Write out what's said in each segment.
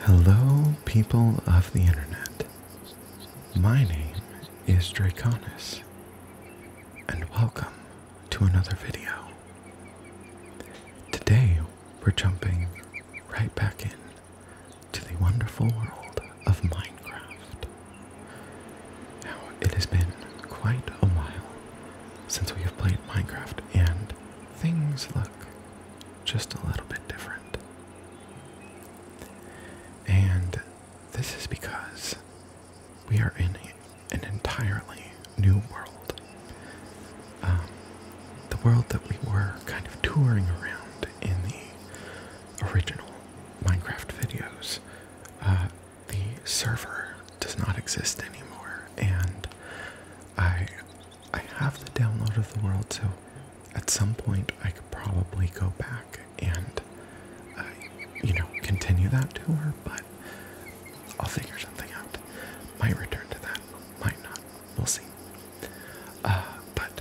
Hello, people of the internet. My name is Draconis, and welcome to another video. Today, we're jumping right back in to the wonderful world of Minecraft. Now, it has been quite a while since we have played Minecraft, and things look just a little bit different. And this is because we are in an entirely new world. Um, the world that we were kind of touring around in the original Minecraft videos, uh, the server does not exist anymore, and I I have the download of the world, so at some point I could probably go back and, uh, you know, continue that tour, but I'll figure something out. Might return to that, might not. We'll see. Uh, but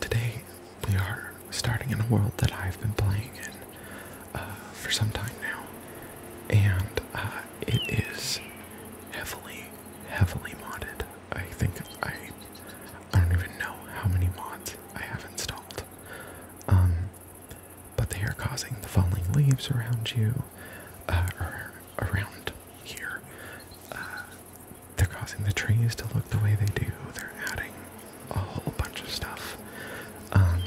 today we are starting in a world that I've been playing in uh, for some time now, and it is heavily, heavily modded. I think I, I don't even know how many mods I have installed. Um, but they are causing the falling leaves around you, uh, around here. Uh, they're causing the trees to look the way they do. They're adding a whole bunch of stuff. Um,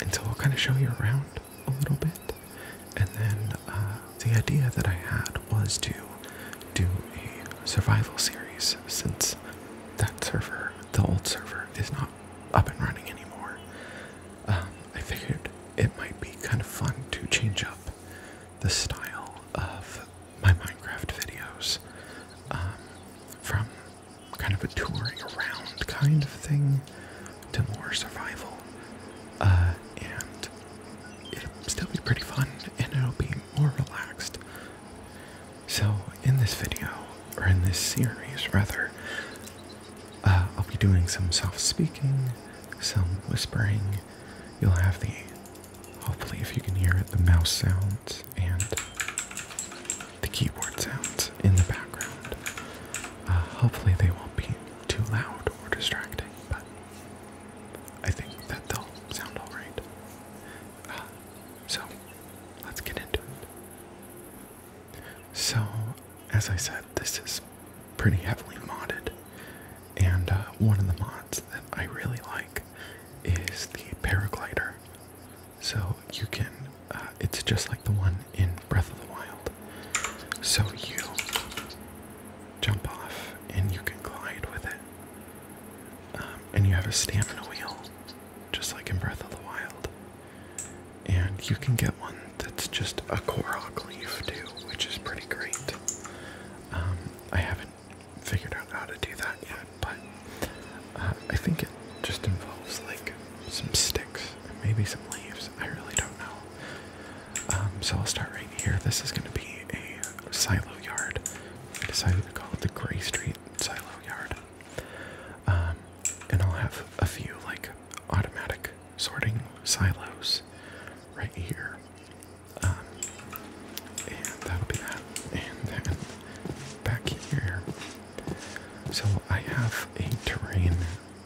and so I'll kind of show you around a little bit. And then uh, the idea that I had was to do a survival series since that server, the old server, is not up and running anymore. Um, I figured it might be kind of fun to change up the style of my Minecraft videos um, from kind of a touring around kind of thing to more survival. Uh, and it'll still be pretty fun and it'll be more relaxed. So, in this video, or in this series rather, uh, I'll be doing some soft speaking, some whispering. You'll have the, hopefully, if you can hear it, the mouse sounds and the keyboard sounds in the background. Uh, hopefully, they won't be too loud or distracting, but I think that they'll sound alright. Ah, so, let's get into it. So, as I said, this is pretty heavily modded, and uh, one of the mods that I really like is the paraglider. So, you can, uh, it's just like the one in Breath of the Wild. So you jump off and you can glide with it. Um, and you have a stamina wheel, just like in Breath of the Wild. And you can get one that's just a Korok leaf too, which is pretty great. Um, I haven't figured out how to do that yet, but uh, I think it just involves like some sticks and maybe some leaves. I really don't know. Um, so I'll start right here. This is going to be a silo yard. I decided to call it the Gray Street Silo Yard. Um, and I'll have a few like automatic sorting silos right here. Um, and that'll be that. And then back here. So I have a terrain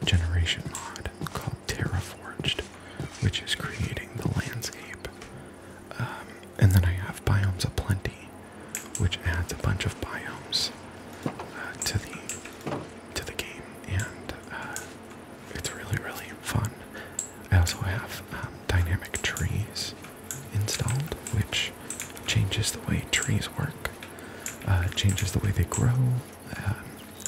generation mod called Terraforged, which is creating the landscape. Um, and then I have Biomes Aplenty, which adds a bunch of biomes uh, to the to the game, and uh, it's really really fun. I also have um, dynamic trees installed, which changes the way trees work, uh, changes the way they grow,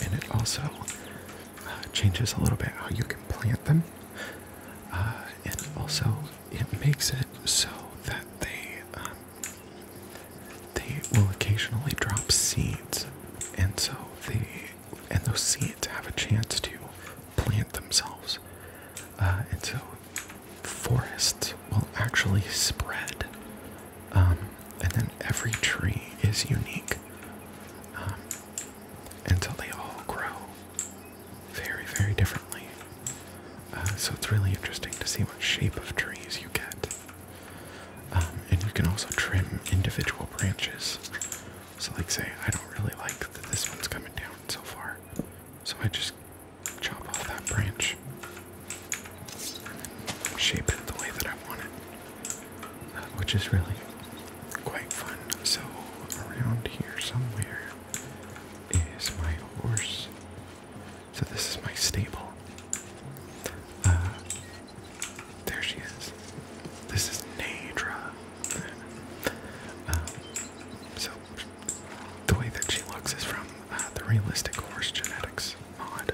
and it also uh, changes a little bit how you can plant them, uh, and also it makes it so that they um, they will occasionally drop seeds, and so they and those seeds have a chance to plant themselves, uh, and so forests will actually spread um, and then every tree is unique um, until they all grow very, very differently. Uh, so it's really interesting to see what shape of trees you get. Um, and you can also trim individual branches. So, like, say, I don't really like that this one's coming down so far. So I just chop off that branch shape it the way that I want it, uh, which is really quite fun. So, around here somewhere is my horse. So, this is my stable. Uh, there she is. This is Nadra. um, so, the way that she looks is from uh, the Realistic Horse Genetics mod.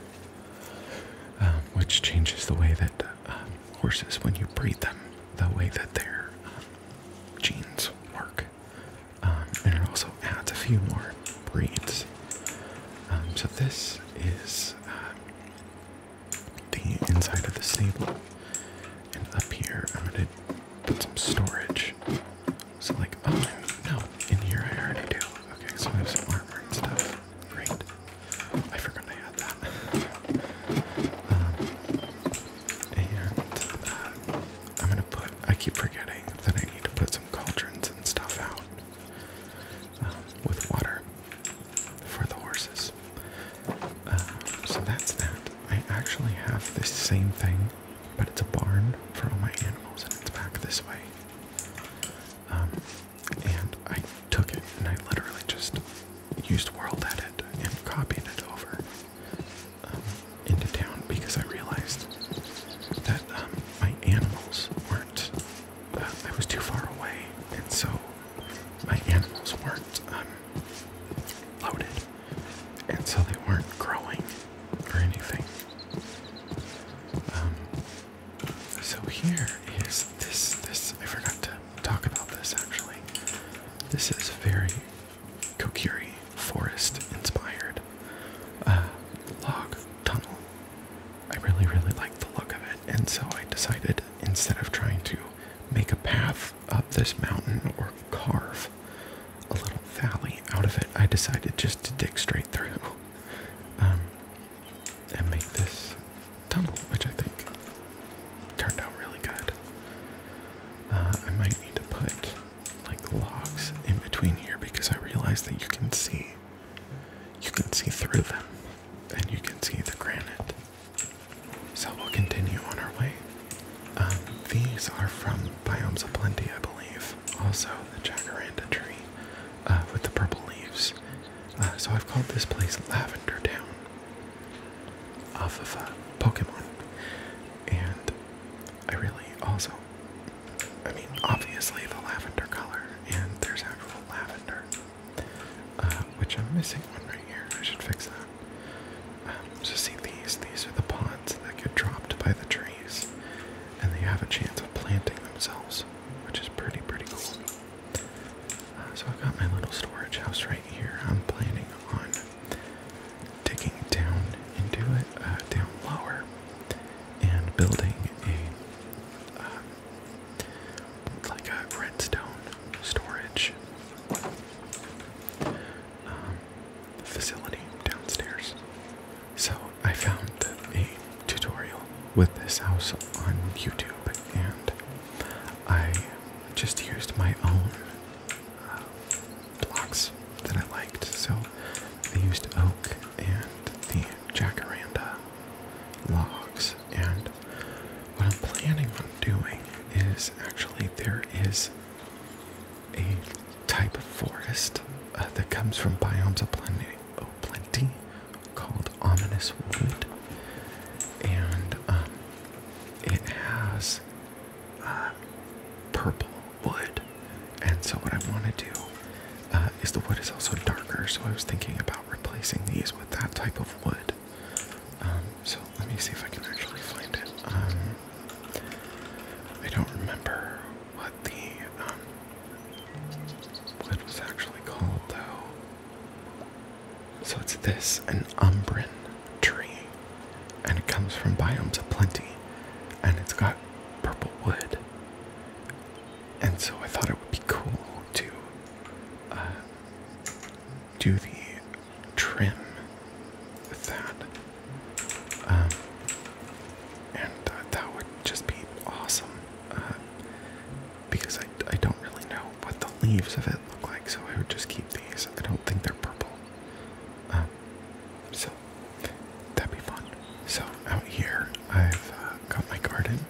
Um, which changes the way that um, horses, when you breed them, the way that their um, genes work. and it also adds a few more breeds. so this is the inside of the stable. And up here, I'm going to put some storage. So like, oh no, in here I already do. Okay, so I have some armor and stuff. Great. I forgot I had that. Um, and uh, I'm gonna put. I keep forgetting that I need to put some cauldrons and stuff out um, with water for the horses. Uh, so that's that. I actually have the same thing, but it's a barn for all my animals, and it's back this way. Um, and I took it and I literally just used World Edit and copied it over um, into town because I realized that um, my animals weren't, uh, I was too far away, and so my animals weren't um, loaded, and so they weren't growing or anything. So here is this this I forgot to talk about this actually. This is very Kokiri forest inspired uh, log tunnel. I really really like the look of it, and so I decided instead of trying to make a path up this mountain or carve a little valley out of it, I decided just to dig straight through. Um, and make this tunnel, which I think turned out really good. Uh, I might need to put like logs in between here because I realize that you can see you can see through them and you can see the granite. So we'll continue on our way. Um, these are from Biomes of Plenty, I believe. Also, the jacaranda tree uh, with the purple leaves uh, so I've called this place Lavender Town off of uh, Pokemon. And I really also, I mean, obviously the lavender color, and there's actual lavender, uh, which I'm missing one right here. I should fix that. Um, so see these, these are the pods that get dropped by the trees, and they have a chance of planting themselves, which is pretty, pretty cool. Uh, so I've got my little storage house right here. I'm planning on digging down into it, uh, down lower, and building a uh, like a redstone storage um, facility downstairs. So I found a tutorial with this house on YouTube, and I just used my own uh, blocks that I liked. So I used oak and the jacaranda logs, and what I'm planning on doing is actually there is a type of forest uh, that comes from biomes of plenty called Ominous Wood, and um, it has uh, purple wood. And so, what I want to do uh, is the wood is also darker, so I was thinking about replacing these with that type of wood. Um, so, let me see if I can actually find it. Um, I don't remember what the wood was actually called, though. So it's this, an Umbran tree, and it comes from biomes of plenty, and it's got purple wood. And so I thought it would be cool to uh, do the trim with that. Um, and that would just be awesome. Uh, because I, I don't really know what the leaves of it look like, so I would just keep these. I don't think they're purple. Uh, so that'd be fun. So out here, I've uh, got my garden,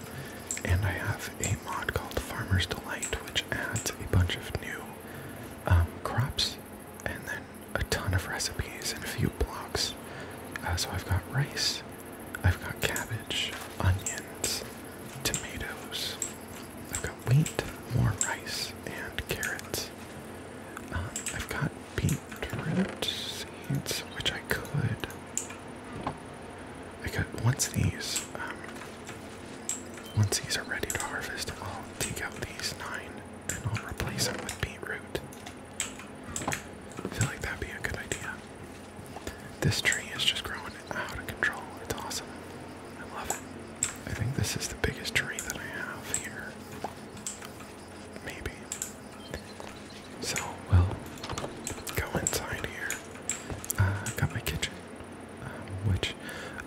and I have a mod called Farmer's Delight, which adds a bunch of new um, crops and then a ton of recipes and a few blocks. Uh, so I've got rice, I've got cabbage, onions, tomatoes. I've got wheat, more rice, and carrots. Um, I've got beetroot seeds, which I could. I could once these. Um, once these are ready to harvest, I'll take out these nine and I'll replace them with beetroot. I feel like that'd be a good idea. This tree is just growing out of control. It's awesome. I love it. I think this is the biggest tree that I have here. Maybe. So, we'll go inside here. I've uh, got my kitchen, um, which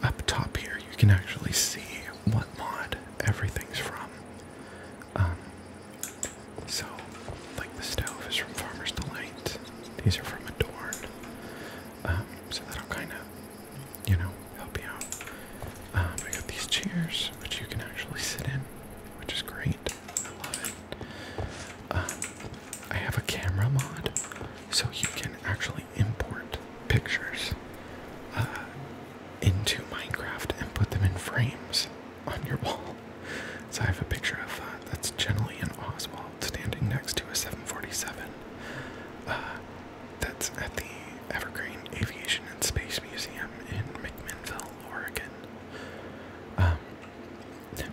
up top here you can actually see what mod everything's from. Um, so, like the stove is from Farmer's Delight, these are from Adorn. Um, so that'll kind of, you know, help you out. I um, got these chairs, which you can actually sit in, which is great. I love it. Um, I have a camera mod, so you can actually import pictures uh, into Minecraft and put them in frames on your wall. So I have a picture of uh, that's generally an Oswald standing next to a 747. Uh, that's at the Evergreen Aviation and Space Museum in McMinnville, Oregon. Um,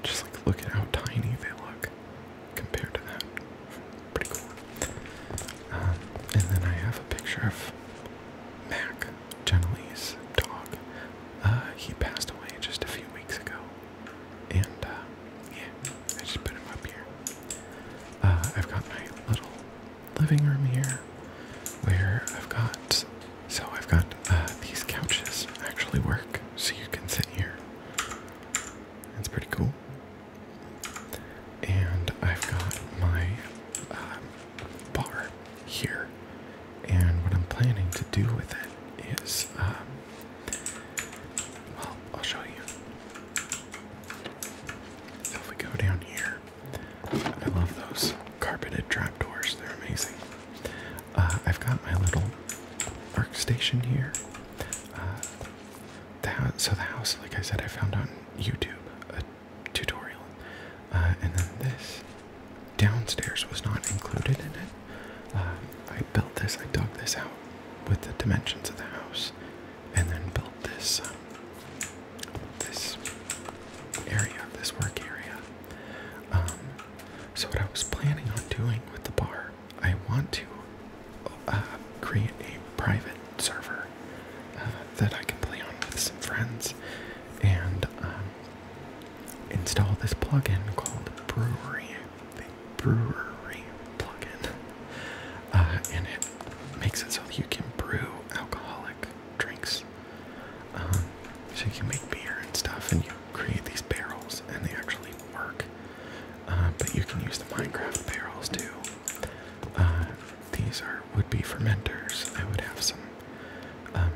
just like look at how tiny they look compared to that. Pretty cool. Um, and then I have a picture of Mac, Genelee's dog, uh, he passed away just a few weeks ago. And, uh, yeah, I just put him up here. Uh, I've got my little living room here where I've got. So I've got these couches actually work, so you can sit here. That's pretty cool. And I've got my bar here, and what I'm planning to do with it is, um, well, I'll show you. if we go down here, I love those carpeted trapdoors, they're amazing. Uh, I've got my little workstation here. Uh, the house, so the house, like I said, I found on YouTube a tutorial, uh, and then this downstairs was not included in it. Uh, I built this, I dug this out with the dimensions of the house, and then built this um, this area, this work area. Um, so what I was planning on doing with the bar, I want to uh, create a private server that I can play on with some friends, and um, install this plugin called Brewery, the Brewery plugin, uh, and it makes it so that you can brew alcoholic drinks. Um, so you can make beer and stuff, and you create these barrels, and they actually work. Uh, but you can use the Minecraft barrels too. Uh, these are would be fermenters. I would have some um,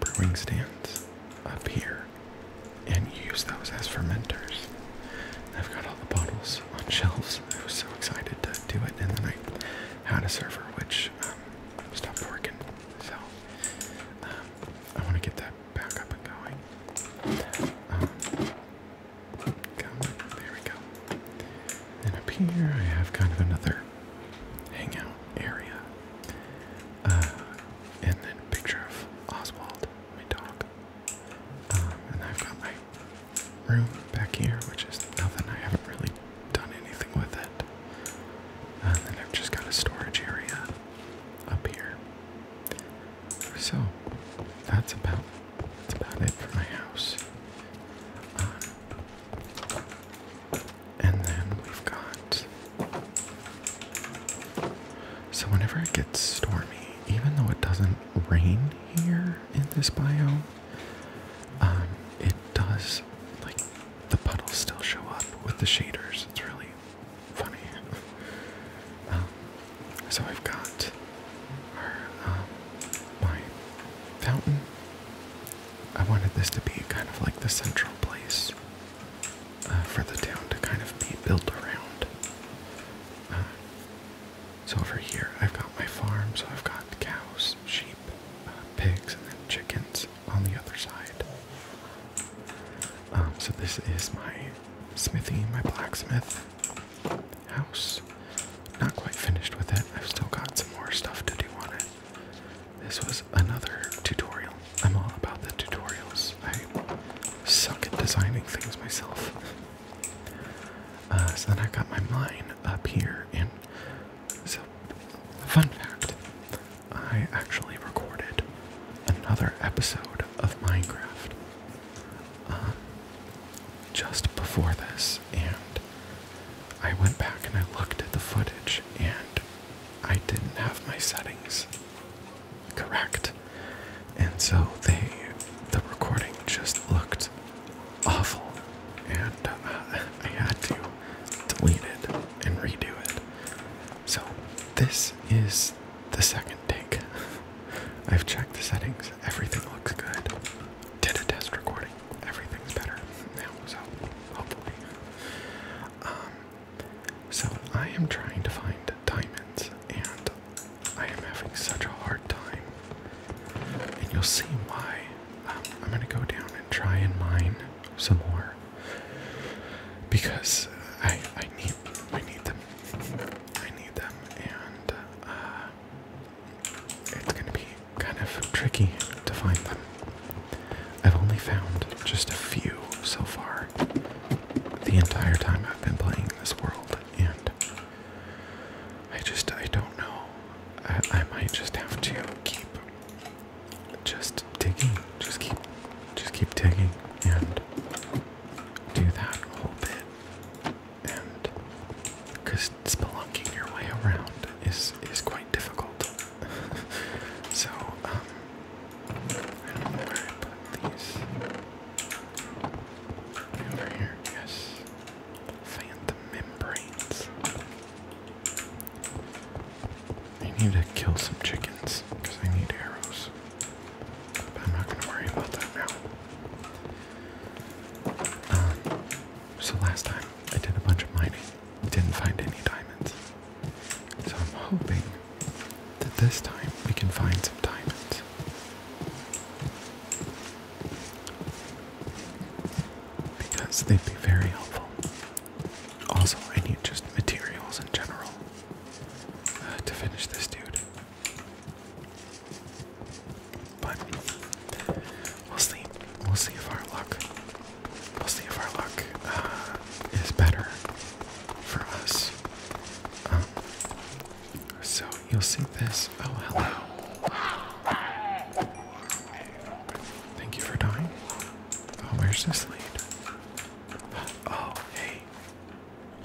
brewing stands up here and use those as fermenters. I've got all the bottles on shelves. I was so excited to do it, and then I had a server which um, stopped working. So um, I want to get that back up and going. Um, there we go. And up here I have kind of another hangout area. Uh, and then a picture of Oswald, my dog. Um, and I've got my room back here, which is nothing. I haven't really done anything with it. And then I've just got a storage area up here. So that's about that's about it for my house. Um, and then we've got. So, whenever it gets stormy, even though it doesn't rain here in this biome, um, it does, like, the puddles still show up with the shaders. It's really funny. Um, so, I've got our, um, my fountain. I wanted this to be kind of like the central place uh, for the town to kind of be built around. Uh, so over here, I've got my farm, so I've got cows, sheep, uh, pigs, and then chickens on the other side. Um, so this is my smithy, my blacksmith house. Not quite finished with it. I've still got some more stuff to do on it. This was another tutorial. I'm all about the tutorials. I suck at designing things myself. Uh, so then I've got my mine up here, and so, fun fact I actually recorded another episode of Minecraft um, just before this, and I went back and I looked at the footage, and I didn't have my settings correct. And so they the recording just looked awful and uh, I had to delete it and redo it. So this is the second take. I've checked the settings. Everything looks good. Did a test recording. Everything's better now, so hopefully. Um, so I am trying to find diamonds and I am having such a hard time. And you'll see why. Um, I'm going to go down and try and mine some more because I I need I need them. I need them and uh, it's going to be kind of tricky to find them. I've only found just a few so far the entire time I've been playing this world, and I just I don't know. I, might just have to keep just digging, just keep, just keep digging, and do that whole bit, and because spelunking your way around is is quite difficult. so, um, I don't know where I put these. Over here, yes. Phantom membranes. I need to kill some chickens because I need arrows. But I'm not going to worry about that now. Um, so last time I did a bunch of mining didn't find any diamonds. So I'm hoping that this time we can find some diamonds. Because they'd be very helpful. Also, I need just materials in general uh, to finish this dude. But we'll see. We'll see if our luck We'll see if our luck uh, is better for us. Um, so you'll see this. Oh, hello. Thank you for dying. Oh, where's this lead? Oh, hey.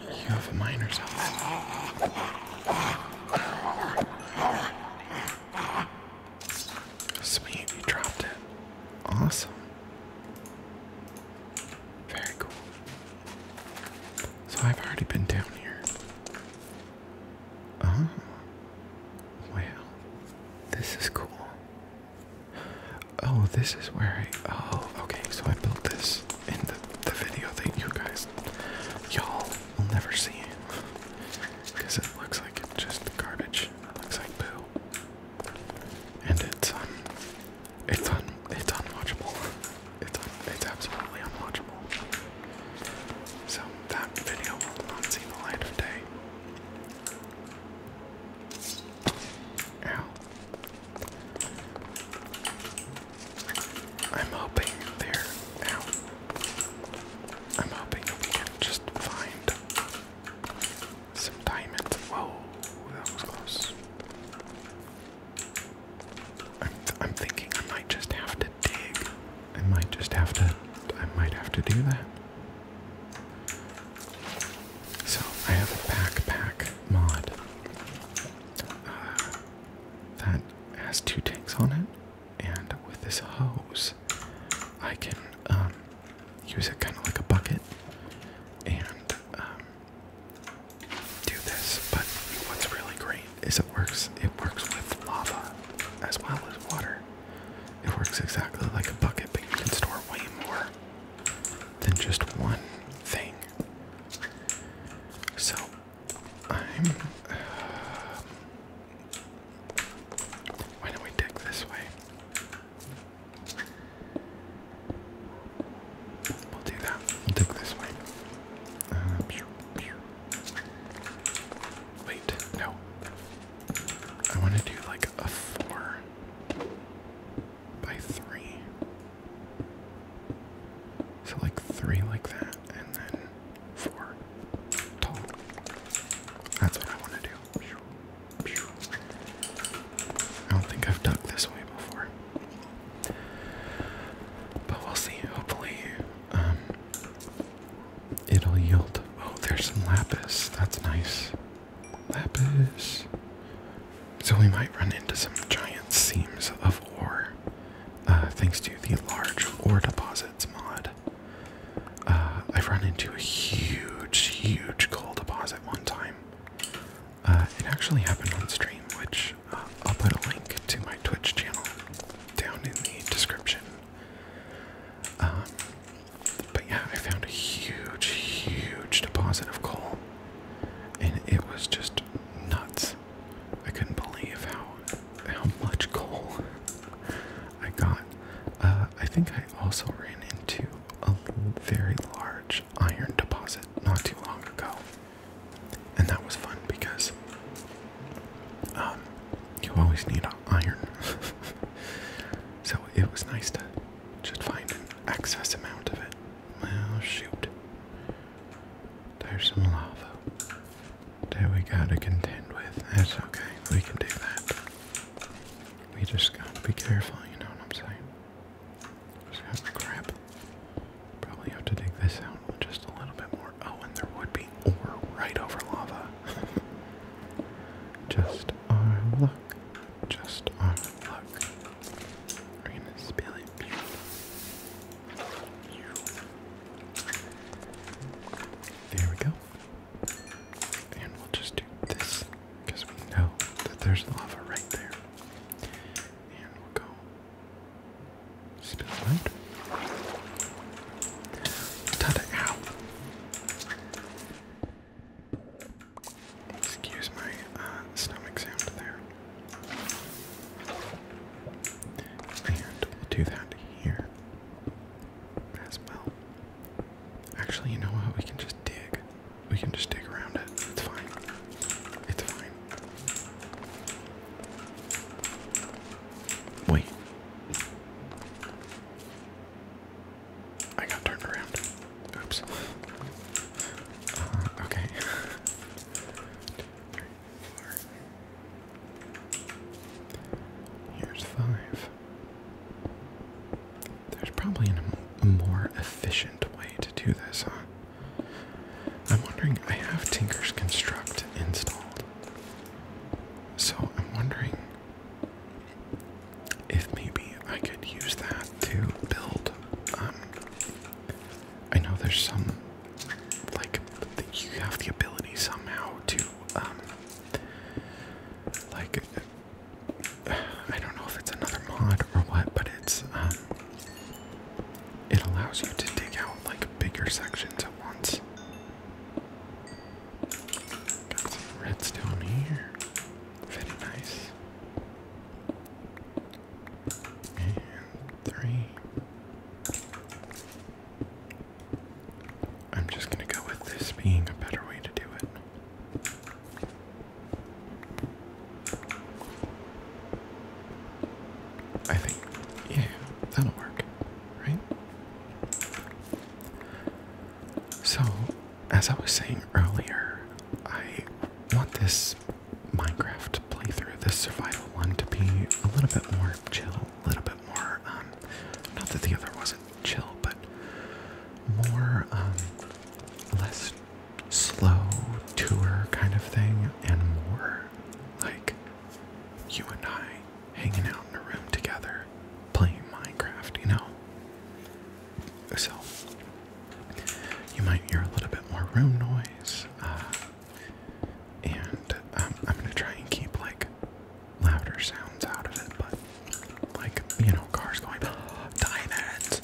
You have a miner's helmet. Sweet, you dropped it. Awesome. Very cool. So I've already been down here. Oh, wow. This is cool. Oh, this is where I. Oh, okay. So I built this in the, the video that you guys, y'all, will never see. Because it looks like it's just garbage. It looks like poo and it's um, it's it's unwatchable. It's it's absolutely unwatchable. So that video will not see the light of day. Ow. I'm hoping there. Ow. I'm hoping that we just find some diamonds. Whoa, that was close. I'm, I'm thinking I might just have to dig. I might just have to. I might have to do that. So I have a backpack mod uh, that has two tanks on it, and with this hose, I can um, use it kind of like a bucket and um, do this. But what's really great is it works. It works with lava as well as water. It works exactly like a bucket, but you can store way more than just one thing. So I'm. Uh, why don't we dig this way? We'll do that. We'll take this uh, way. Wait, no. I want to do like a four by three. So like three like that, and then four tall. That's what I want to do. I don't think I've dug this way before. But we'll see. Hopefully, um, it'll yield. Oh, there's some lapis. That's nice. Lapis. So we might run into some giant seams of ore, uh, thanks to the large ore deposits mod. Uh, I've run into a huge, huge coal deposit one time. Uh, it actually happened on stream, which uh, I'll put a link to my Twitch channel down in the description. Um, but yeah, I found a huge, huge deposit of coal, and it was just nuts. I couldn't believe how how much coal I got. Uh, I think I also ran into a very large iron deposit not too long ago, and that was fun because um, you always need iron. so it was nice to just find an excess amount of it. Well, shoot. There's some lava that we gotta contend with. That's okay. We can do that. We just gotta be careful, you know what I'm saying? Oh, crap. Probably have to dig this out just a little bit more. Oh, and there would be ore right over lava. just our luck. Just our luck. We're gonna spill it. There we go. And we'll just do this because we know that there's lava right there. And we'll go spill out. Tada out. Excuse my uh, stomach sound there. And we'll do that here as well. Actually, you know what? We can just dig. We can just stick around it. It's fine. It's fine. Wait. I got turned around. Oops. Uh, okay. Here's five. There's probably a more efficient way to do this, I'm wondering, I have Tinker's Construct installed. So I'm wondering if maybe I could use that to build. Um, I know there's some, like, you have the ability somehow to, um, like, I don't know if it's another mod or what, but it's um it allows you to dig out like bigger sections at once. Got some redstone here. Very nice. And three. I'm just gonna go with this being a better way to do it. I think, yeah, that'll work, right? So, as I was saying earlier, I want this Minecraft playthrough, this survival one, to be a little bit more chill, a little bit more, um, not that the other wasn't chill, but more, um, less slow tour kind of thing and more like you and I hanging out in a room together playing Minecraft, you know? So, you might hear a little bit more room noise, uh, and um, I'm gonna try and keep like louder sounds out of it, but like you know cars going diamonds, diamonds.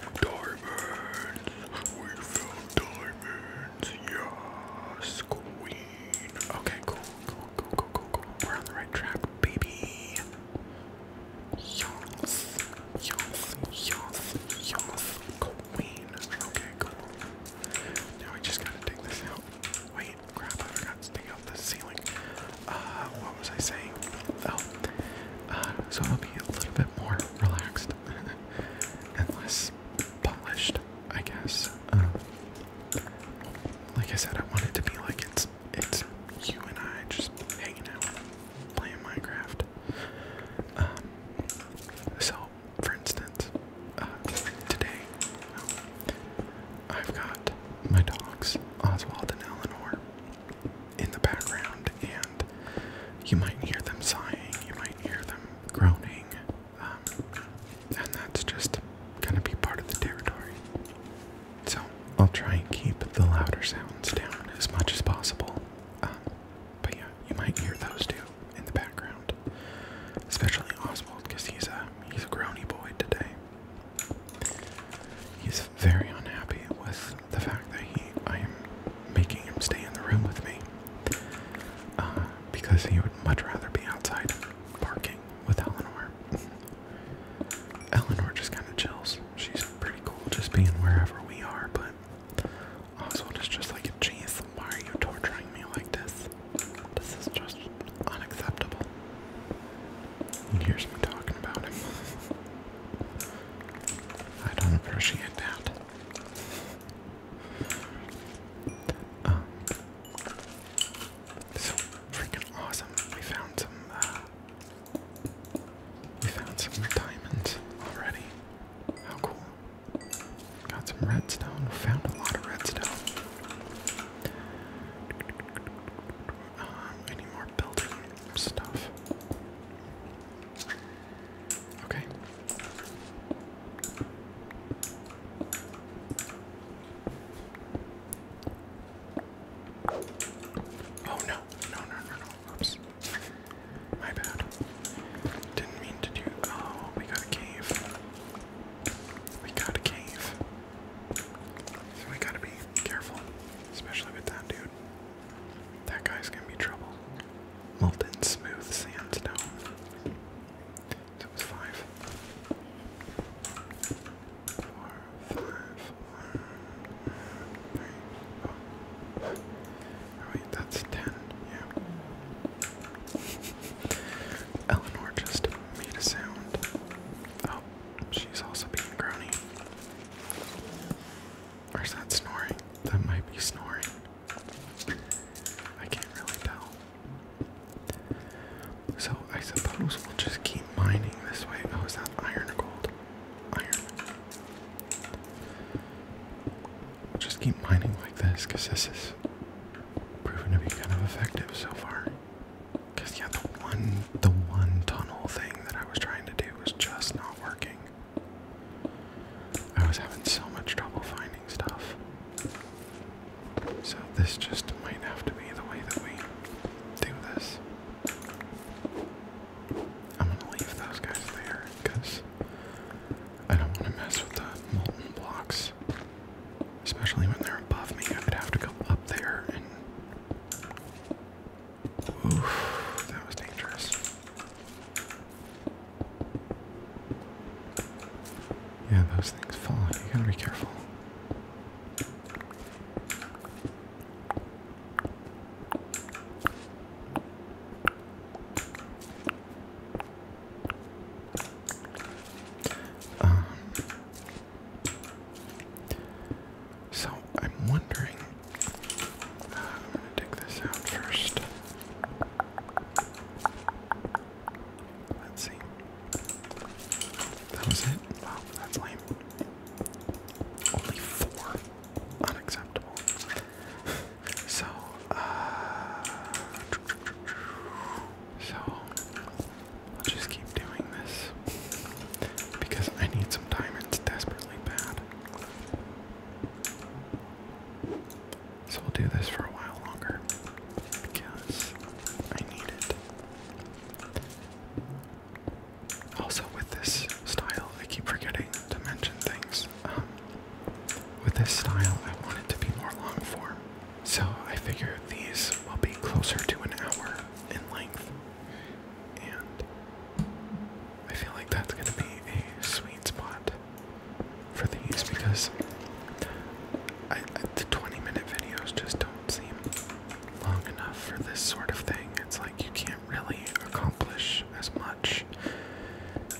We found diamonds. Yes, queen. Okay, cool, cool, cool, cool, cool, We're on the right track, baby. Yes, yes, yes, yes, queen. Okay, cool. Now we just gotta take this out. Wait, crap! I forgot to take the ceiling uh, what was I saying? Oh, uh, so it'll be a little bit more relaxed and less polished, I guess. Um, like I said, I want it to be like it's it's you and I just hanging out, playing Minecraft. Um, so, for instance, uh, today I've got my dogs, Oswald and Eleanor in the background, and you might hear them sighing, you might hear them groaning, um, and that's just gonna be part of the territory. So I'll try and keep the louder sounds down as much as possible, um, but yeah, you might hear those too in the background, especially Oswald, because he's a he's a groany boy today. He's very unhappy with the fact that he, I am making him stay in the room with me uh, because he would much rather be outside barking with Eleanor. Eleanor just kind of chills. She's pretty cool just being wherever we are, but Oswald is just like, a geez, why are you torturing me like this? This is just unacceptable. He hears me talking about him. I don't appreciate that. Um, so freaking awesome. We found some. Uh, we found some diamonds already. How cool! Got some redstone. Found a lot of redstone. Um, any more building stuff. Okay. Oh no, no, no, no, no. Oops. My bad. Didn't mean to do oh, we got a cave. We got a cave. So we gotta be careful, especially with that dude. That guy's gonna be trouble. Molten smooth sandstone. So was five. Four, five, four, three, oh. wait, that's ten, yeah. Eleanor just made a sound. Oh, she's also being groany. Or that snoring? That might be snoring. I can't really tell. So I suppose we'll just keep mining this way. Oh, is that iron or gold? Iron. We'll just keep mining like this because this is proven to be kind of effective so far. Cause yeah, the one the one tunnel thing that I was trying to do was just not working. I was having so much trouble finding stuff. So, this just might have to be the way that we do this. I'm gonna leave those guys there because I don't want to mess with the molten blocks. Especially when they're above me, I would have to go up there and Oof, that was dangerous. Yeah, those things fall. You gotta be careful. Um, so I'm wondering I'm gonna take this out first. Let's see. That was it. Wow, that's lame. Only four. Unacceptable. so, uh, So, I'll just keep doing this. Because I need some diamonds desperately bad. So we'll do this for a while longer because I need it. Also, with this style, I keep forgetting to mention things. Um, with this style, I want it to be more long form, so I figure these will be closer to an hour in length. And I feel like that's gonna be a sweet spot for these because the 20 minute videos just don't seem long enough for this sort of thing. It's like you can't really accomplish as much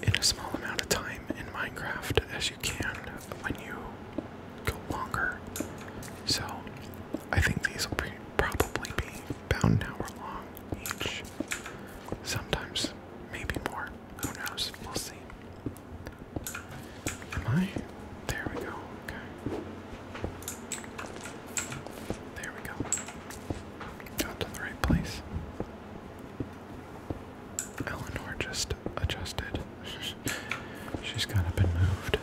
in a small amount of time in Minecraft as you can when you go longer. So I think these will probably be about an hour long each. Sometimes, maybe more. Who knows? We'll see. Am I? There we go. Okay. There we go. Got to the right place. Eleanor just adjusted. She's kind of been moved.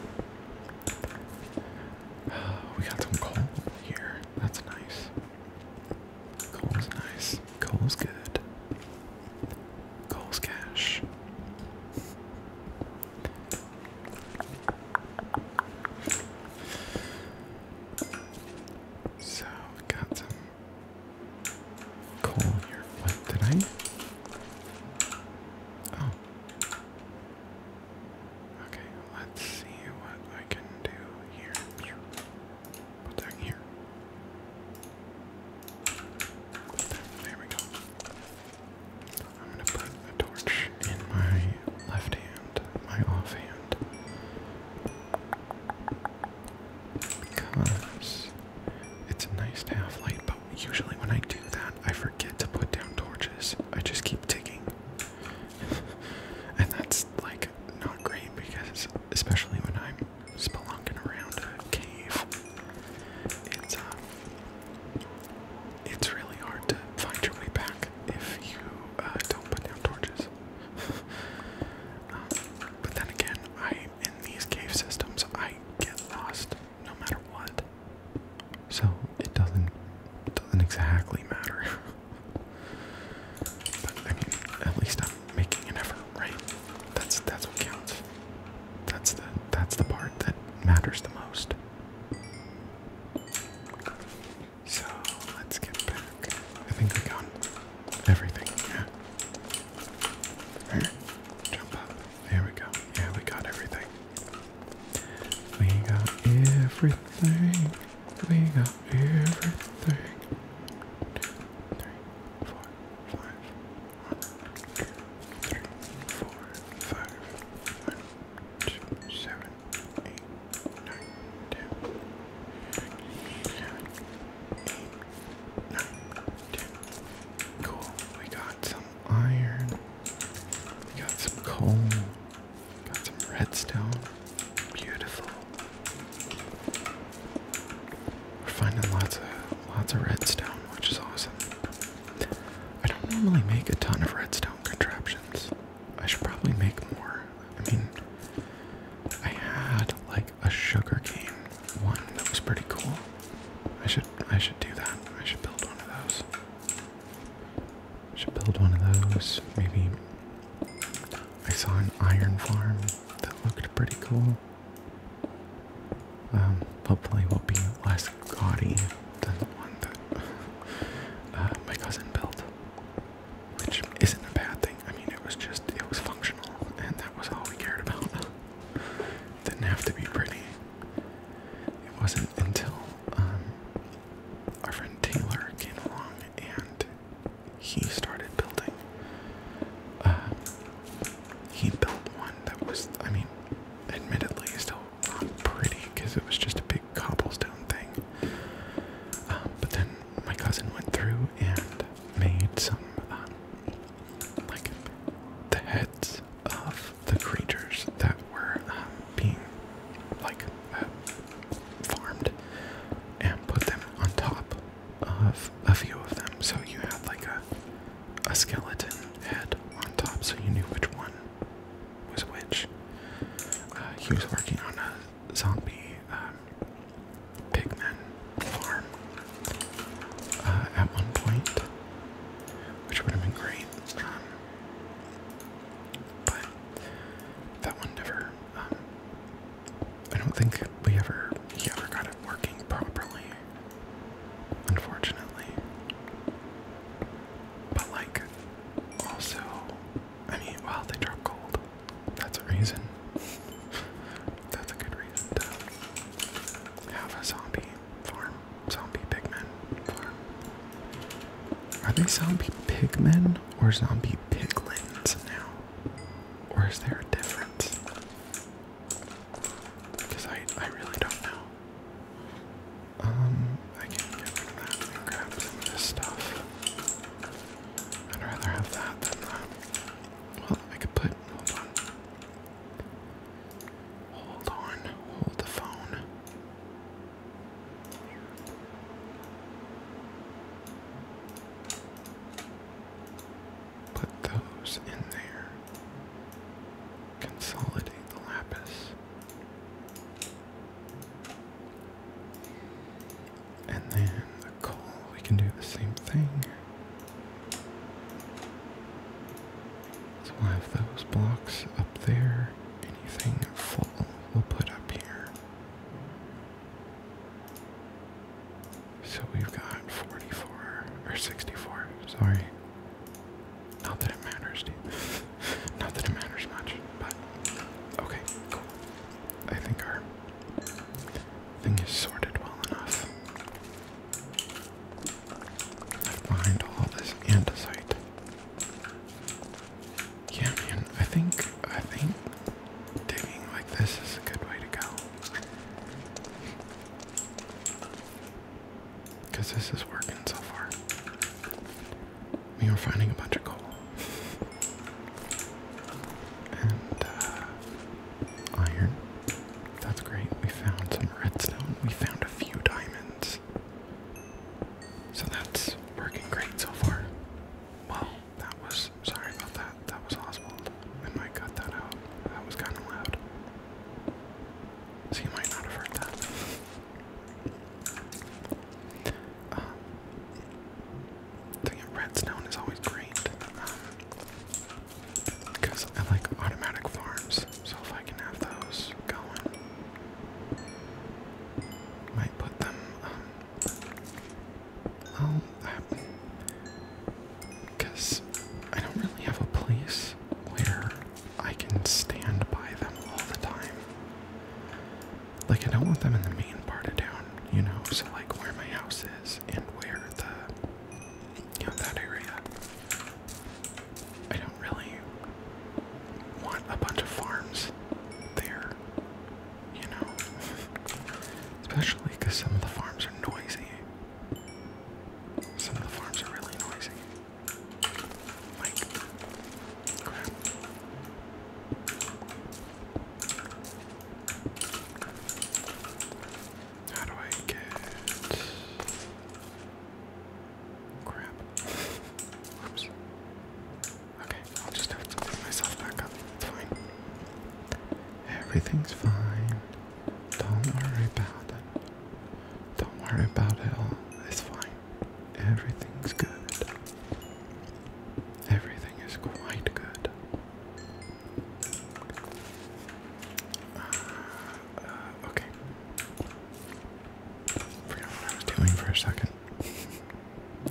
we got some coal here. That's nice. Coal's nice. Coal's good. Coal's cash. So got some coal here. What did I? Oh. Okay, let's see what I can do here. Put that here. there we go. I'm gonna put a torch in my left hand, my off hand. Because it's nice to have light, but usually when I do that, I forget to put down torches. I just keep ticking and that's like not great because, especially when I'm spelunking around a cave, it's um, it's really hard to find your way back if you uh, don't put down torches. Um, but then again, I in these cave systems, I get lost no matter what, so it doesn't doesn't exactly matter. But I mean, at least I'm making an effort, right? That's that's what counts. That's the that's the part that matters the most. So let's get back. I think we got everything. Yeah. Alright, jump up. There we go. Yeah, we got everything. We got everything. We got everything. Two, three, four, five. One, two, three, four, five. One, two, seven, eight, nine, ten. Seven, eight, nine, ten. Cool. We got some iron. We got some coal. Got some redstone. Beautiful. We're finding lots of lots of redstone, which is awesome. I don't normally make a ton of redstone contraptions. I should probably make more. I mean, I had like a sugarcane one that was pretty cool. I should I should do that. I should build one of those. Should build one of those. Maybe I saw an iron farm that looked pretty cool. Um, hopefully will be less gaudy than the one that uh, my cousin built, which isn't a bad thing. I mean, it was just it was functional, and that was all we cared about. Didn't have to be pretty. It wasn't until um, our friend Taylor came along and he started building. Uh, he built one that was, I mean, admittedly still not pretty because it was just a big cobblestone thing. Um, but then my cousin went through and made some, um, like, the heads of the creatures that were um, being, like, uh, farmed and put them on top of a few of them. So you had like a a skeleton head on top, so you knew which one was which. Uh, he was working on a zombie um, pigman farm uh, at one point, which would have been great. Um, but that one never. Um, I don't think we ever ever got it working properly. Unfortunately, but like also, I mean, while they drop cold, That's a reason. That's a good reason to have a zombie farm, zombie pigmen farm. Are they zombie pigmen or zombie piglins now? Or is there a difference? Because I, I really don't know. Um, I can get that grab some of this stuff. I'd rather have that than that. Well, I could put. Hold on. Hold on. Hold the phone. Put those in there. Consolidate the lapis. And then the coal, we can do the same thing. So we have those blocks up there. Anything full, we'll put up here. So we've got 44 or 64, sorry. Not that it matters, dude. Not that it matters much, but okay, cool. I think our thing is sorted well enough. behind all this andesite. Yeah, man. I think I think digging like this is a good way to go. Cause this is working so far. We are finding a bunch of gold And uh, iron. That's great. We found some redstone. We found a few diamonds. So that's working great so far. Well, that was sorry about that. That was Oswald. I might cut that out. That was kind of loud. So you might not have heard that. Um, redstone is always great because um, I like automatic farms. So if I can have those going, might put them um, um, i because I don't really have a place where I can stand by them all the time. Like I don't want them in the main part of town, you know, so like where my house is and where the you know that area. I don't really want a bunch of farms there you know. Especially because some of the farms are noisy. Some of the farms are really noisy. How do I get. Crap. Whoops. Okay, I'll just have to put myself back up. It's fine. Everything's fine. Don't worry about it. Don't worry about it It's fine. Everything's good. Everything is quite good. Uh, uh, okay. Forgot what I was doing for a second.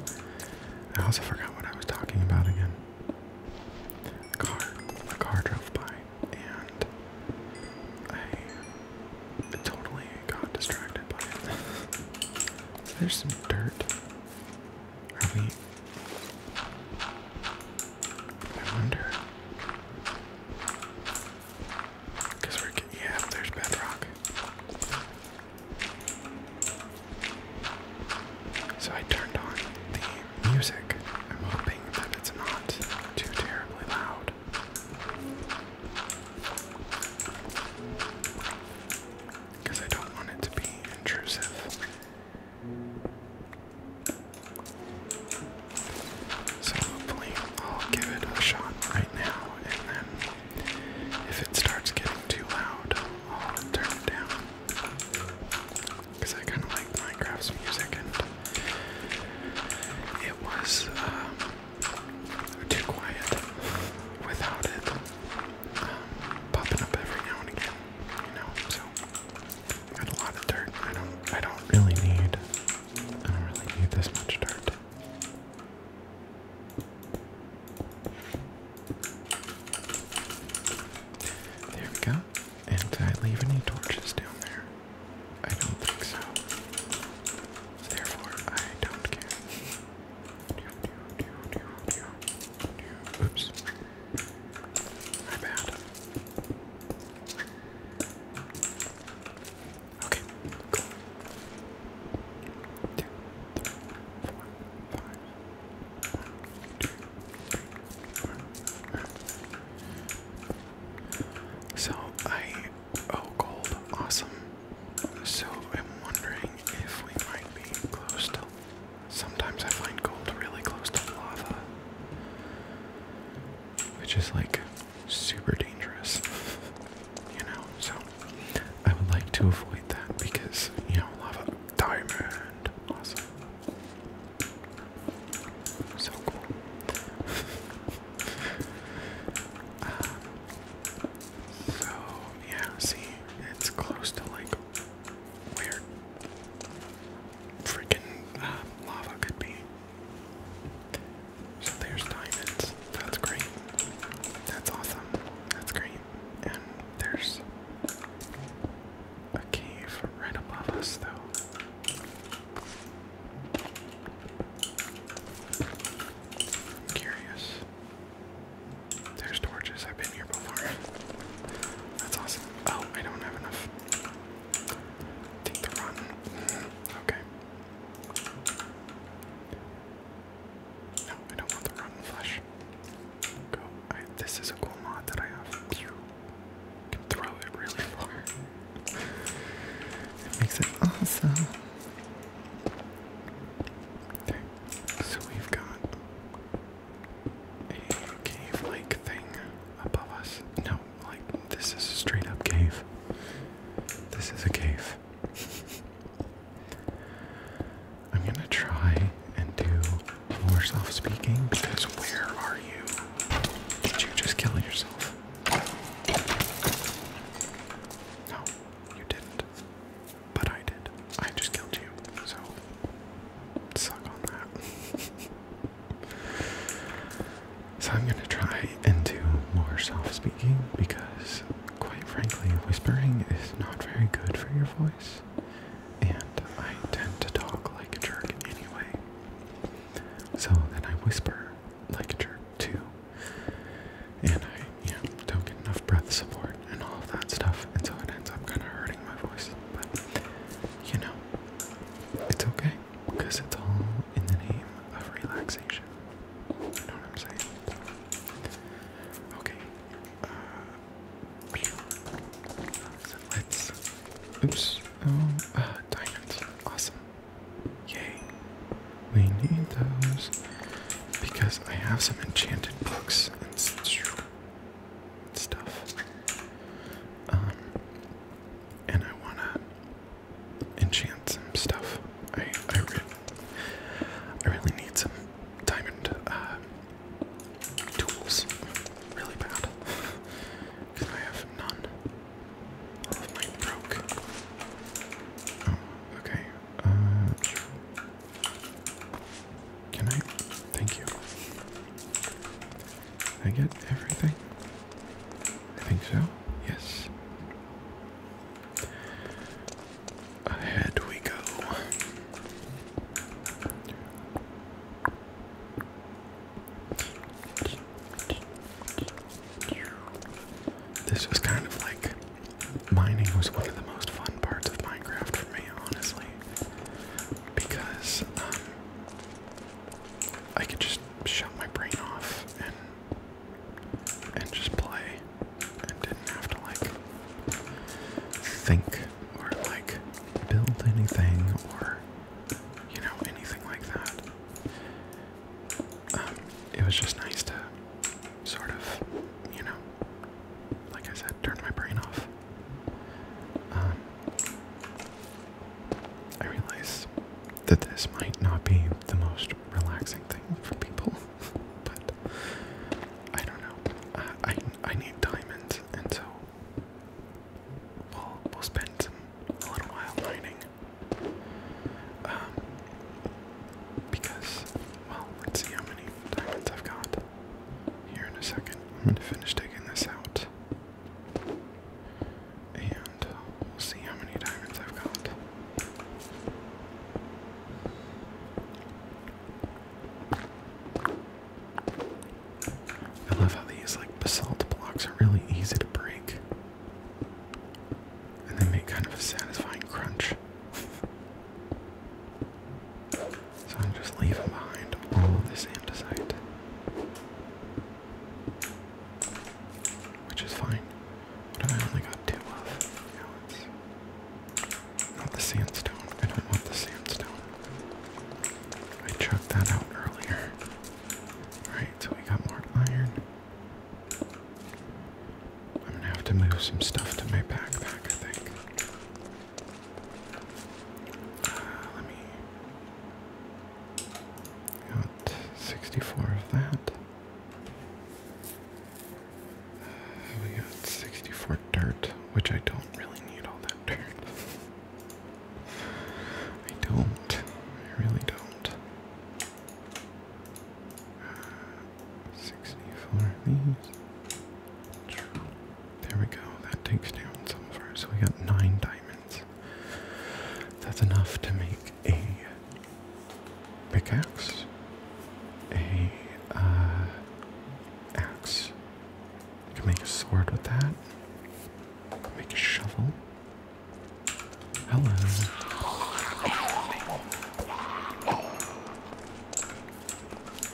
I also forgot what I was talking about again. A car, a car drove by, and I totally got distracted by it. there's some dirt. Are we? I wonder. Cause we're yeah, there's bedrock. So I turned on the music. I'm hoping that it's not too terribly loud. Because I don't want it to be intrusive. So hopefully I'll give it a shot right now and then if it starts getting too loud, I'll turn it down. Because I kind of like Minecraft's music, and it was um, too quiet without it um, popping up every now and again. You know, so got a lot of dirt. I don't. I don't really need. I don't really need this much dirt. There we go. And did I leave any torches down there? I don't think so. Therefore, I don't care. Oops. My bad. Okay, cool. So I oh gold, awesome. So I'm wondering if we might be close to sometimes I find gold really close to lava. Which is like super dangerous. You know, so I would like to avoid that because, you know, lava diamond. Awesome. So cool. Um, so, yeah, see, it's close to like weird, freaking um, lava could be. So there's diamonds. That's great. That's awesome. That's great and there's a cave right above us, though. curious. There's torches. I've been here before. That's awesome. Oh, I don't have enough. Take the run. Mm, okay. No, I don't want the rotten flesh. Go. this is a cool mod that I have. can throw it really far. It makes it awesome. Okay, so we've got a cave like thing above us. No, like this is straight up cave. This is a cave. I'm gonna try and do more self speaking because where are you? Did you just kill yourself? No, you didn't. But I did. I just killed you, so suck on that. so I'm gonna try and do more self speaking because quite frankly, whispering is not very good for your voice, and I tend to talk like a jerk anyway. So then I whisper like a jerk too, and I, you know, don't get enough breath support and all that stuff, until it ends up kind of hurting my voice. But you know, it's okay because it's all in the name of relaxation. You know what I'm saying? Okay, uh, so let Oops. Oh, uh, diamonds. Awesome. Yay. We need those because I have some enchanted books and stuff. Um, and I want to enchant some stuff. I I, re I really need some diamond uh, tools really bad because I have none. All of mine broke. Oh, okay. Uh, can I? Thank you. I get everything? I think so. Yes. Ahead we go. This was kind of like mining was one of the most fun parts of Minecraft for me, honestly, because um, I could just shut my brain off and and just play and didn't have to like think or like build anything or you know anything like that. Um, it was just nice to sort of, you know, like I said, turn my brain off. Um, I realize that this might not be the most relaxing thing for people but I don't know. I I need diamonds, and so we'll we'll spend some a little while mining. Um, because well, let's see how many diamonds I've got. Here in a second, I'm gonna finish taking this out, and we'll see how many diamonds I've got. I love how these like basalt blocks are really easy to break. And they make kind of a satisfying crunch. So I'm just leaving behind all this andesite. Which is fine. What I only got two of? Not the sandstone. I don't want the sandstone. I chucked that out earlier. Alright, so we got more iron. I'm gonna have to move some stuff to my backpack, I think. Uh, let me. Got 64 of that. We got 64 dirt, which I don't really need all that dirt. I don't. I really don't. Uh, 64 of these. There we go. That takes down some of our. So we got nine diamonds. That's enough to make a pickaxe, a uh, axe. You can make a sword with that. Make a shovel. Hello.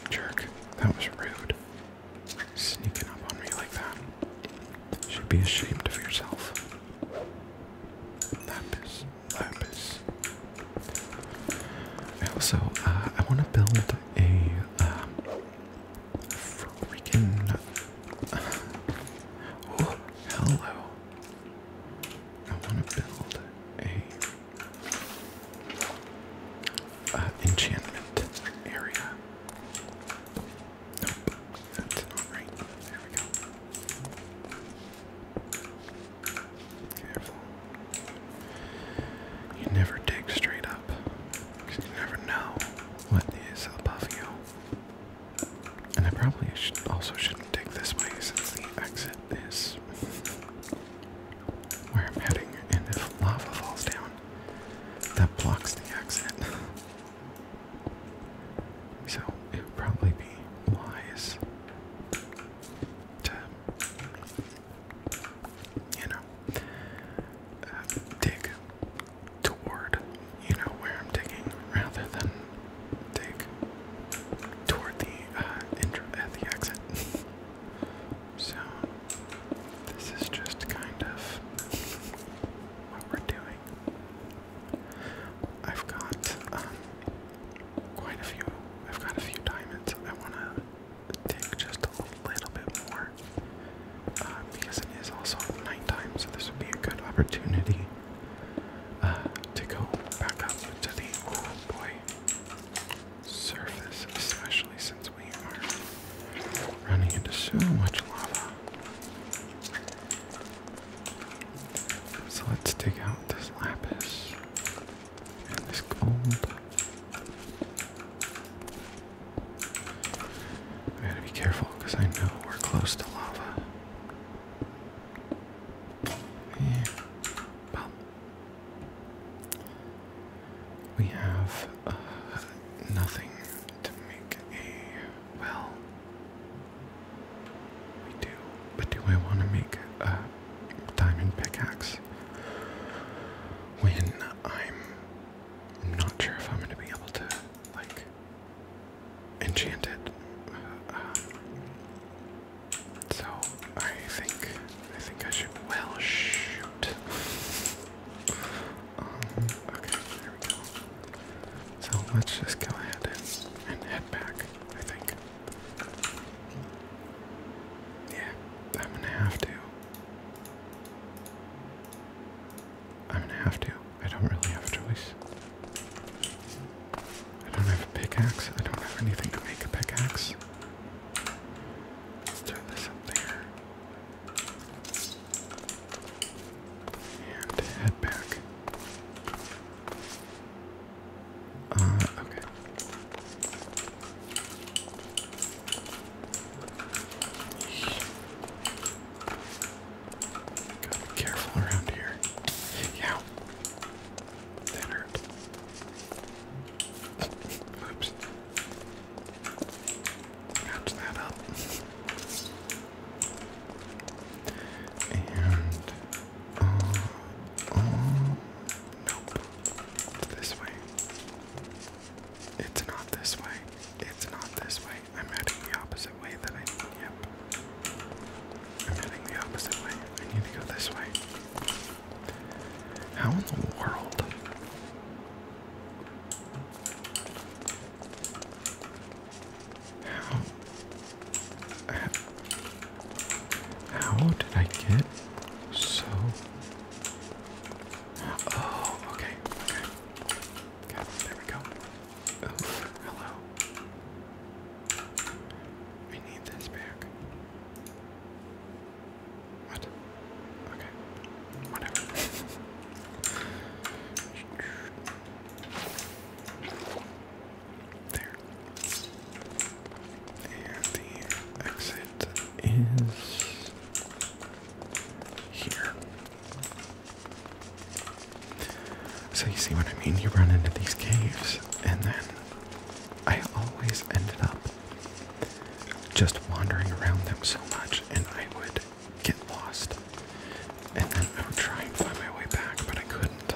Jerk, that was rude. Sneaking up on me like that. Should be ashamed of yourself. Lapis opus. Uh, I also I want to build a uh, freaking. Oh, hello! I want to build a uh, enchantment area. Nope, that's not right. There we go. Careful. You never dig straight up. Because you never know what is above you. And I probably should also shouldn't dig this way since the exit is where I'm heading. And if lava falls down, that blocks the exit. So it would probably be wise to, you know, uh, dig toward, you know, where I'm digging rather than dig toward the, uh, at uh, the exit. so, this is just kind of what we're doing. I've got, um, quite a few. I've got a few diamonds. I want to dig just a little bit more uh, because it is also night time, so this would be a good opportunity uh, to go back up to the boy surface, especially since we are running into so much lava. So let's dig out this lapis this gold. I gotta be careful because I know we're close to lava. Yeah. Well, we have uh, nothing to make a well. We do, but do I want to make a diamond pickaxe when I'm not sure if I'm going to be able to, like, enchant it. so I think I think I should. Well, shoot. Um, okay, there we go. So let's just go ahead and head back. I think. Yeah, I'm gonna have to. I'm gonna have to. I don't really have a choice. I don't have a pickaxe. I don't have anything to make a pickaxe. Let's throw this up there. And head back. Uh, okay. Gotta be careful around here. Yeah. That Oops. Match that up. and um, um, nope. this way. It's not this way. It's not this way. I'm heading the opposite way that I need. Yep. I'm heading the opposite way. I need to go this way. How in the world? How? How did I get so? Oh, okay, okay. there we go. hello. We need this back. What? Okay. Whatever. there. And the exit is here. So you see what I mean? You run into these caves, and then I always ended up just wandering around them so much, and I would get lost. And then I would try and find my way back, but I couldn't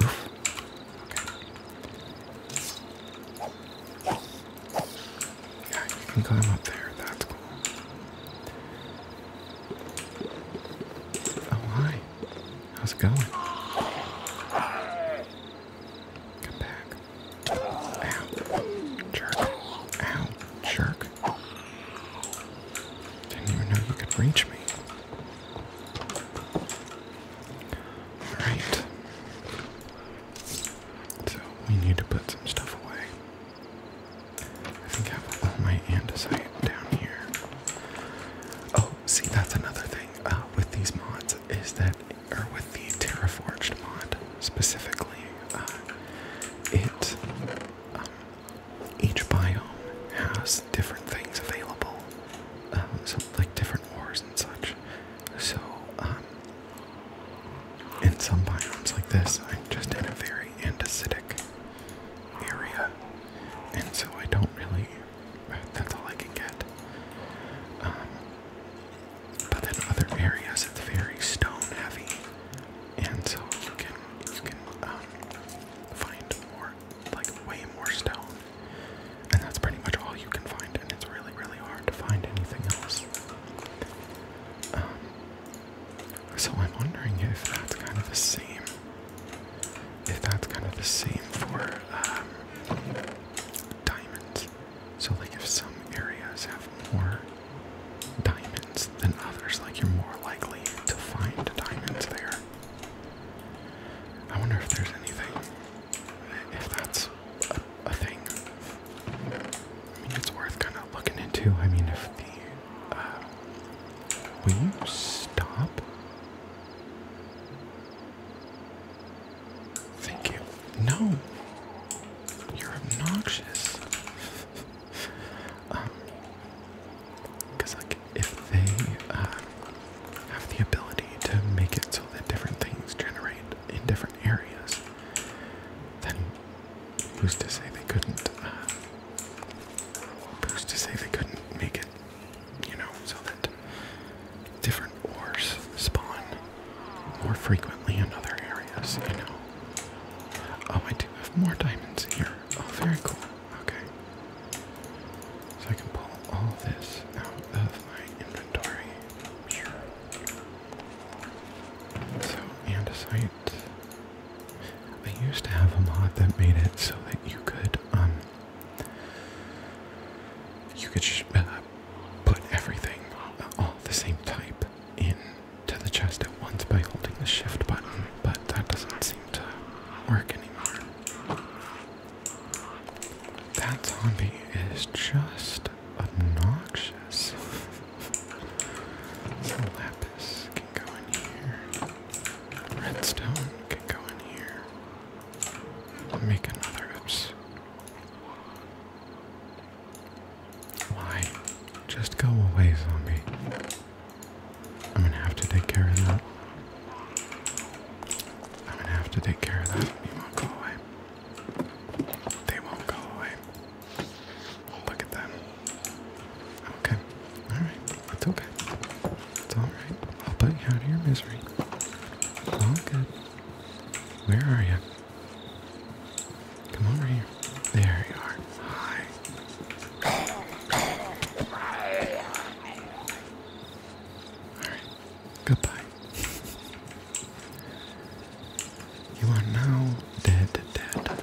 Yeah, you can climb up there. That's cool. Oh, hi. How's it going? Come back. Ow. Jerk. Ow. Jerk. Didn't even know you could reach me. Alright. So we need to put some stuff away. I think I have all my andesite down here. Oh, see, that's another thing uh, with these mods is that, or with the Terraforged mod specifically, uh, it um, each biome has different things available, um, so, like different ores and such. So, um, in some biomes like this, I'm just in a very andesitic area, and so I don't really. That's all I can get. Um, but in other areas, it's very stone heavy, and so you can you can find more like way more stone. And that's pretty much all you can find, and it's really, really hard to find anything else. Um, so I'm wondering if that's kind of the same. If that's kind of the same for um, diamonds. So like if some areas have more diamonds than others, like you're more likely to find diamonds there. I wonder if there's anything, if that's a, thing. I mean, it's worth kind of looking into. I mean, if the, uh, will you stop? Thank you. No, you're obnoxious. Um, because like if they uh, have the ability to make it so that different things generate in different areas, then who's to say they couldn't? Uh, who's to say they couldn't make it? You know, so that different ores spawn more frequently in other areas. You know. Oh, I do have more diamonds here. Oh, very cool. Okay. So I can pull all this out of my inventory. Sure. So, andesite. I used to have a mod that made it so that you could, um, you could uh, put everything, all the same type, into the chest at once by holding the shift button, but that doesn't work anymore. That zombie is just obnoxious. so lapis can go in here. Redstone can go in here. Make another oops. Why? Just go away, zombie. I'm gonna have to take care of that. I'm gonna have to take care of that. He won't go away. They won't go away. Look at them. Okay. Alright. It's okay. It's alright. I'll put you out of your misery. It's all good. Where are you? Come over here. There you are. Hi. Goodbye. You are now dead, dead.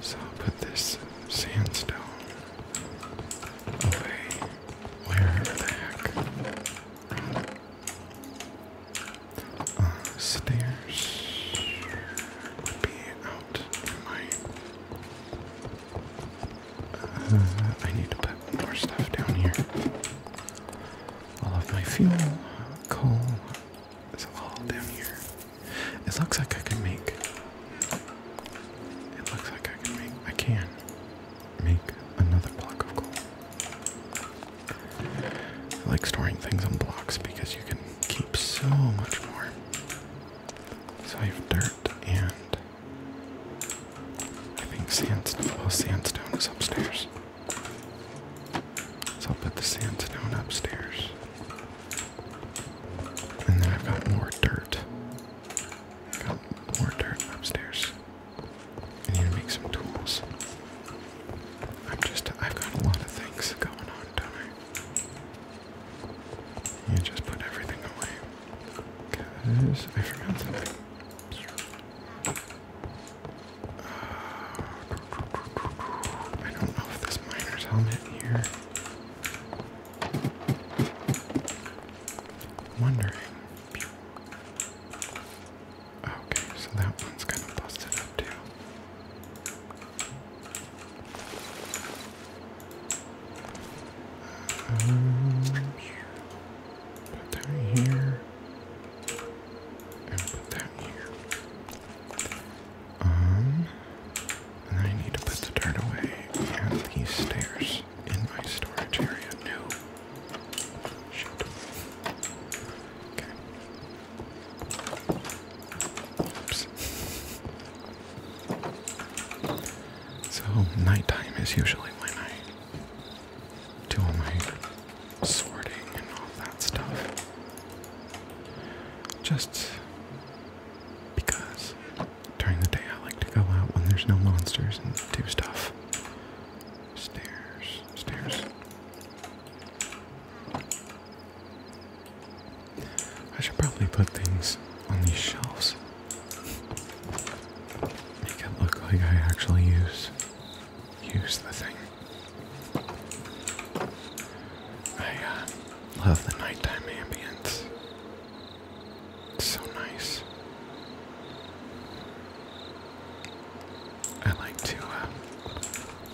So put this sandstone away wherever the heck stairs would be out in my. Uh, I need to put more stuff down here. All of my fuel, coal, it's all down here. It looks like I can make. It looks like I can make. I can make another block of coal. I like storing things on blocks because you can keep so much more. So I have dirt and I think sandstone. Well, sandstone is upstairs. So I'll put the sandstone upstairs. And then I've got more dirt. I've got more dirt upstairs. I need to make some tools. I'm just, I've got a lot of things going on, don't I? You just put everything away. Because I forgot something. Uh, I don't know if this miner's helmet here. wondering. Okay, so that one's kind of busted up too. Um, put that here, and put that here. Um, and I need to put the dirt away and these stairs in my storage area. No. Oops. So nighttime is usually when I do all my sorting and all that stuff. Just because during the day I like to go out when there's no monsters and do stuff. Stairs, stairs. I should probably put things on these shelves. Make it look like I actually use use the thing. I uh, love the nighttime ambience. so nice. I like to uh,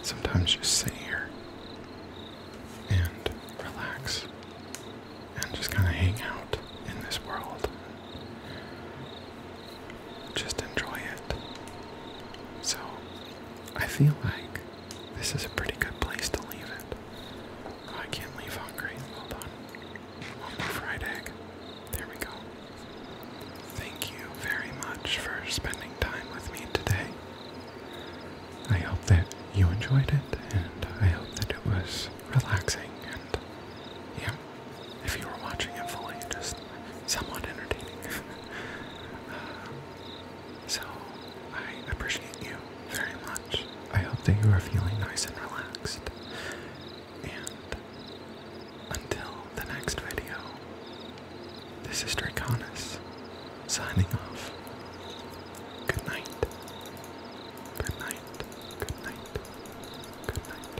sometimes just sit here and relax and just kind of hang out in this world. Just enjoy it. So, I feel like this is a pretty good place to leave it. Oh, I can't leave hungry. Hold on. One more fried egg. There we go. Thank you very much for spending time with me today. I hope that you enjoyed it, and I hope that it was relaxing. And yeah, if you were watching it fully, just somewhat entertaining. Uh, so I appreciate you very much. I hope that you are feeling nice and relaxed. And until the next video, this is Draconis signing off. Good night. Good night. Good night. Good night.